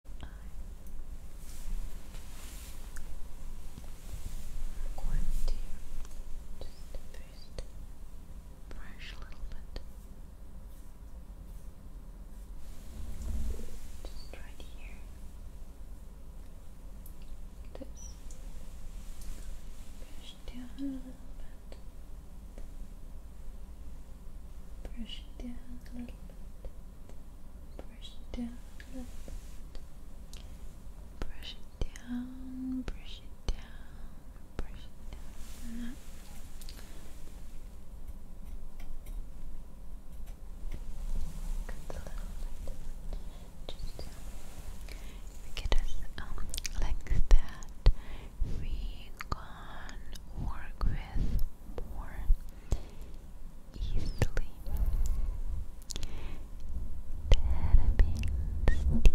I'm going to just first brush a little bit. Just right here. Like Brush down a little bit. Brush down a little bit. Brush it down Brush it down, brush it down, brush it down. Good little bit. Just um, get us um, like that. We can work with more easily. There have been There Thank you so much for sharing with you.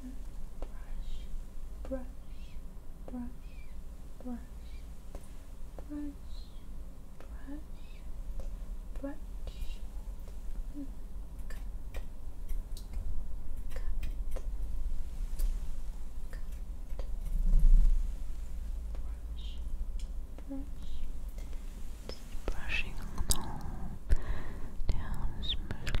brush, brush, brush, brush, brush, brush, cut, cut, cut, brush, brush. Just brushing on all down this middle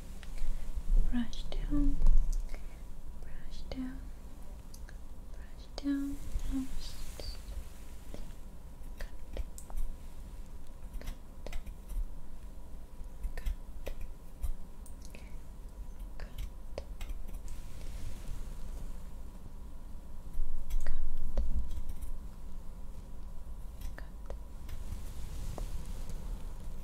brush down, brush down, brush down. Cut. Cut. Cut. Cut. Cut.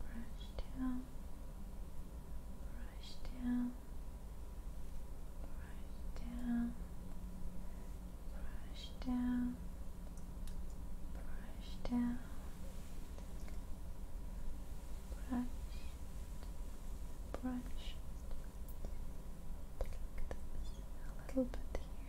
brush down, brush down, brush down, brush down, brush down, brush, brush, a little bit here.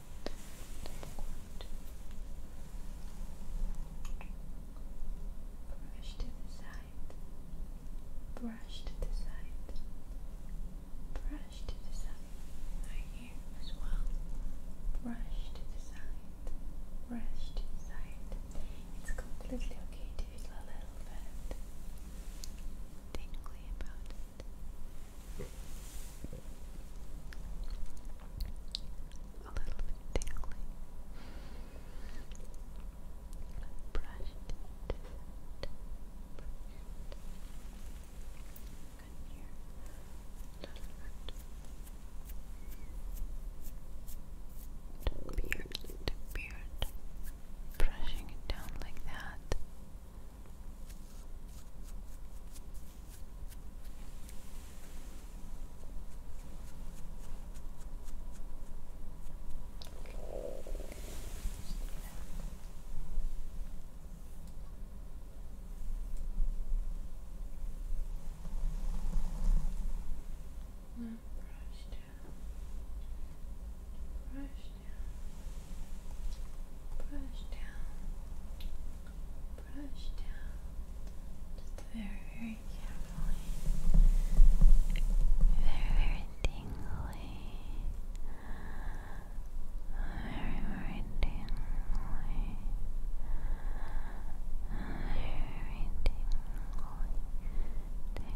Brush to the side. Brush to the side. Brush to the side. Right here as well. Brush to the side. Brush to the side. It's completely okay to feel a little bit tingly about it a little bit tingly. Brush it, brush it. Doesn't hurt. The beard, the beard. Brushing it down like that. Brush down, brush down, brush down, brush down, just very, very carefully, very, very tingly, very, very tingly, very, very tingly, tingly, tingly.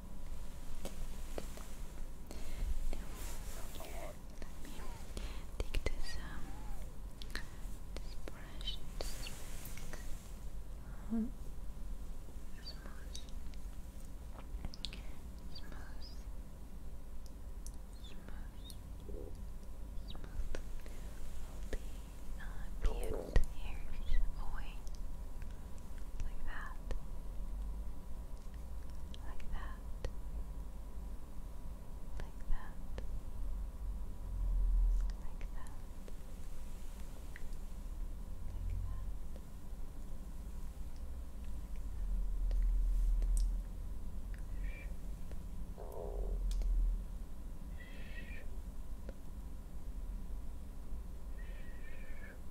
Now, let take this, um, this brush smooth, smooth, smooth, smooth all the uh, beard hairs away like that like that, like that, like that, like that. Like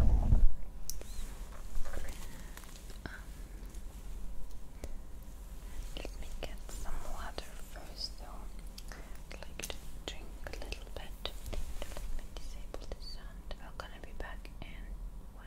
Um, let me get some water first, though. i like to drink a little bit. Let me disable the sound. I'm gonna be back in one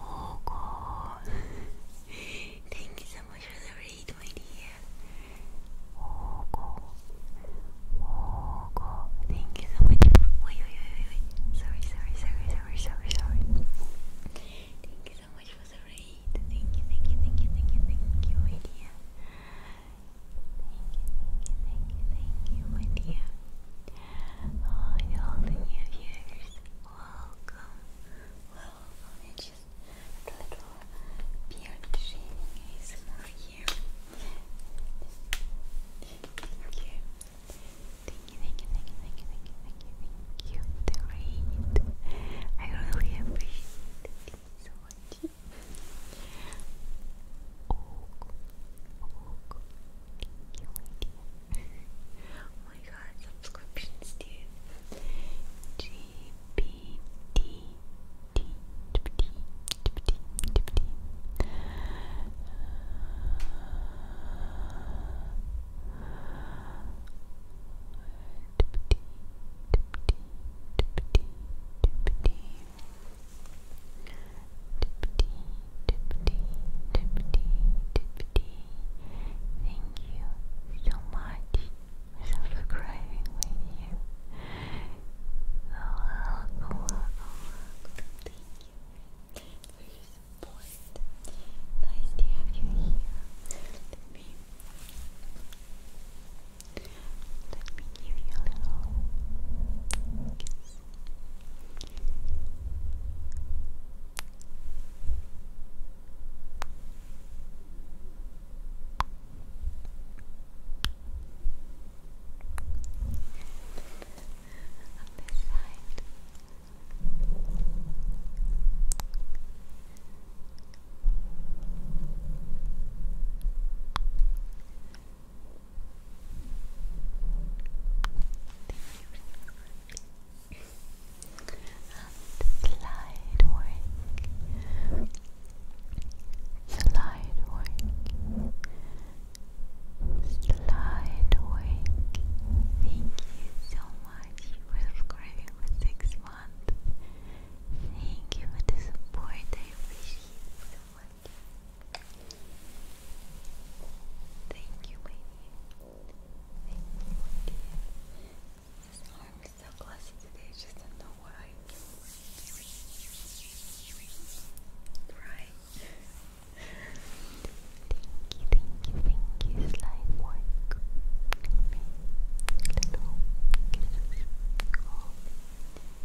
Oh God. Thank you so much for the raid, my dear. Oh God. Oh God. Thank you so much. Wait, wait, wait, wait, Sorry, sorry, sorry, sorry, sorry, sorry. Thank you so much for the raid. Thank you, thank you, thank you, thank you, thank you, my dear thank you, my dear. Oh, all the new viewers, welcome, welcome. It's just a little beard shaving is you. Thank you, thank you, thank you, thank you, thank you, thank you, thank you, thank you. I really appreciate it so much oh my god, subscriptions, dude. GPT. Tippity, tippity, tippity, tippity. Thank you so much for subscribing with you. Thank you for your support. Nice to have you here. Let me let me give you a little On this side slide work, slide work, slide work. Thank you so much for subscribing for six months. Thank you for the support. Thank you, lady. Thank you, dear. This so glossy today, just don't know why. Right. thank you, thank you, thank you, slide work. Okay. Little kisses. Oh.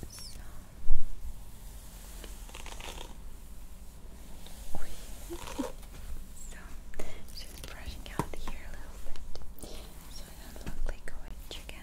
So, so just brushing out the hair a little bit so it doesn't look like a witch again.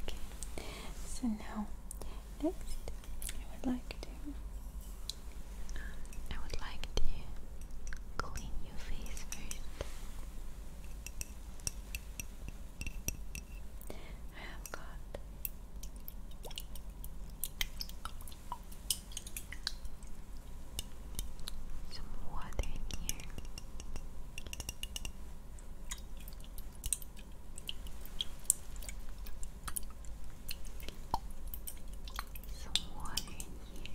Okay, so now I would like to I would like to clean your face first. I have got some water in here. Some water in here.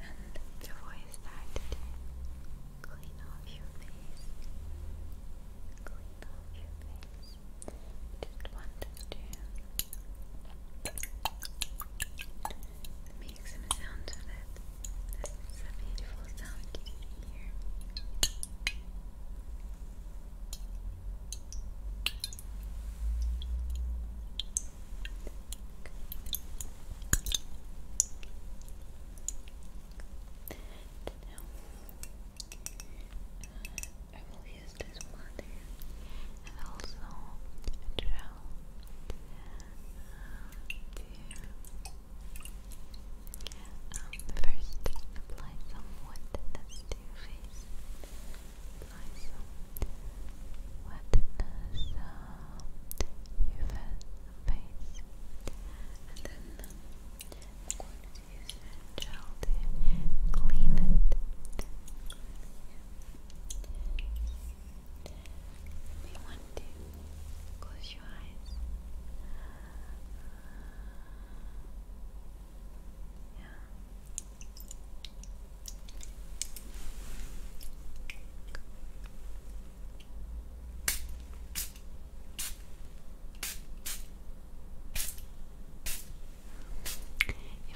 and the voice started to clean off your face, clean off your face. Just wanted to make some sound of it. This is a beautiful sound you can hear. Good. Now, I will use this water and also gel first apply some wood to your face wetness uh, your face and then I'm use gel to clean it you want to close your eyes yeah, if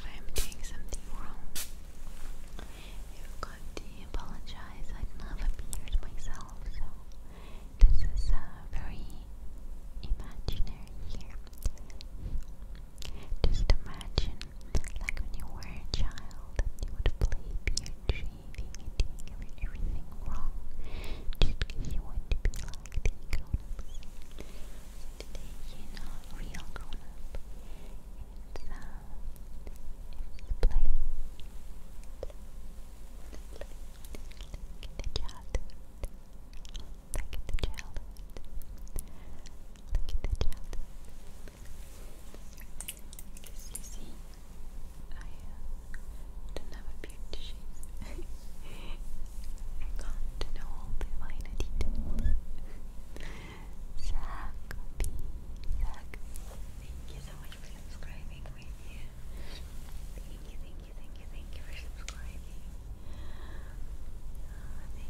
I'm doing something wrong, I've got to apologize. I have a beard myself, so this is uh, very imaginary here. Just imagine, like when you were a child, you would play beard shaving everything wrong. Just you want to be like the grown ups. are not real grown up. It's, it's play. play. Like the childhood. Like the childhood. Look at the chat. Because I don't have a beard to I can't know all the finer details. Zachary, Zachary, thank you so much for subscribing Thank you, thank you, thank you, thank you for subscribing. Uh,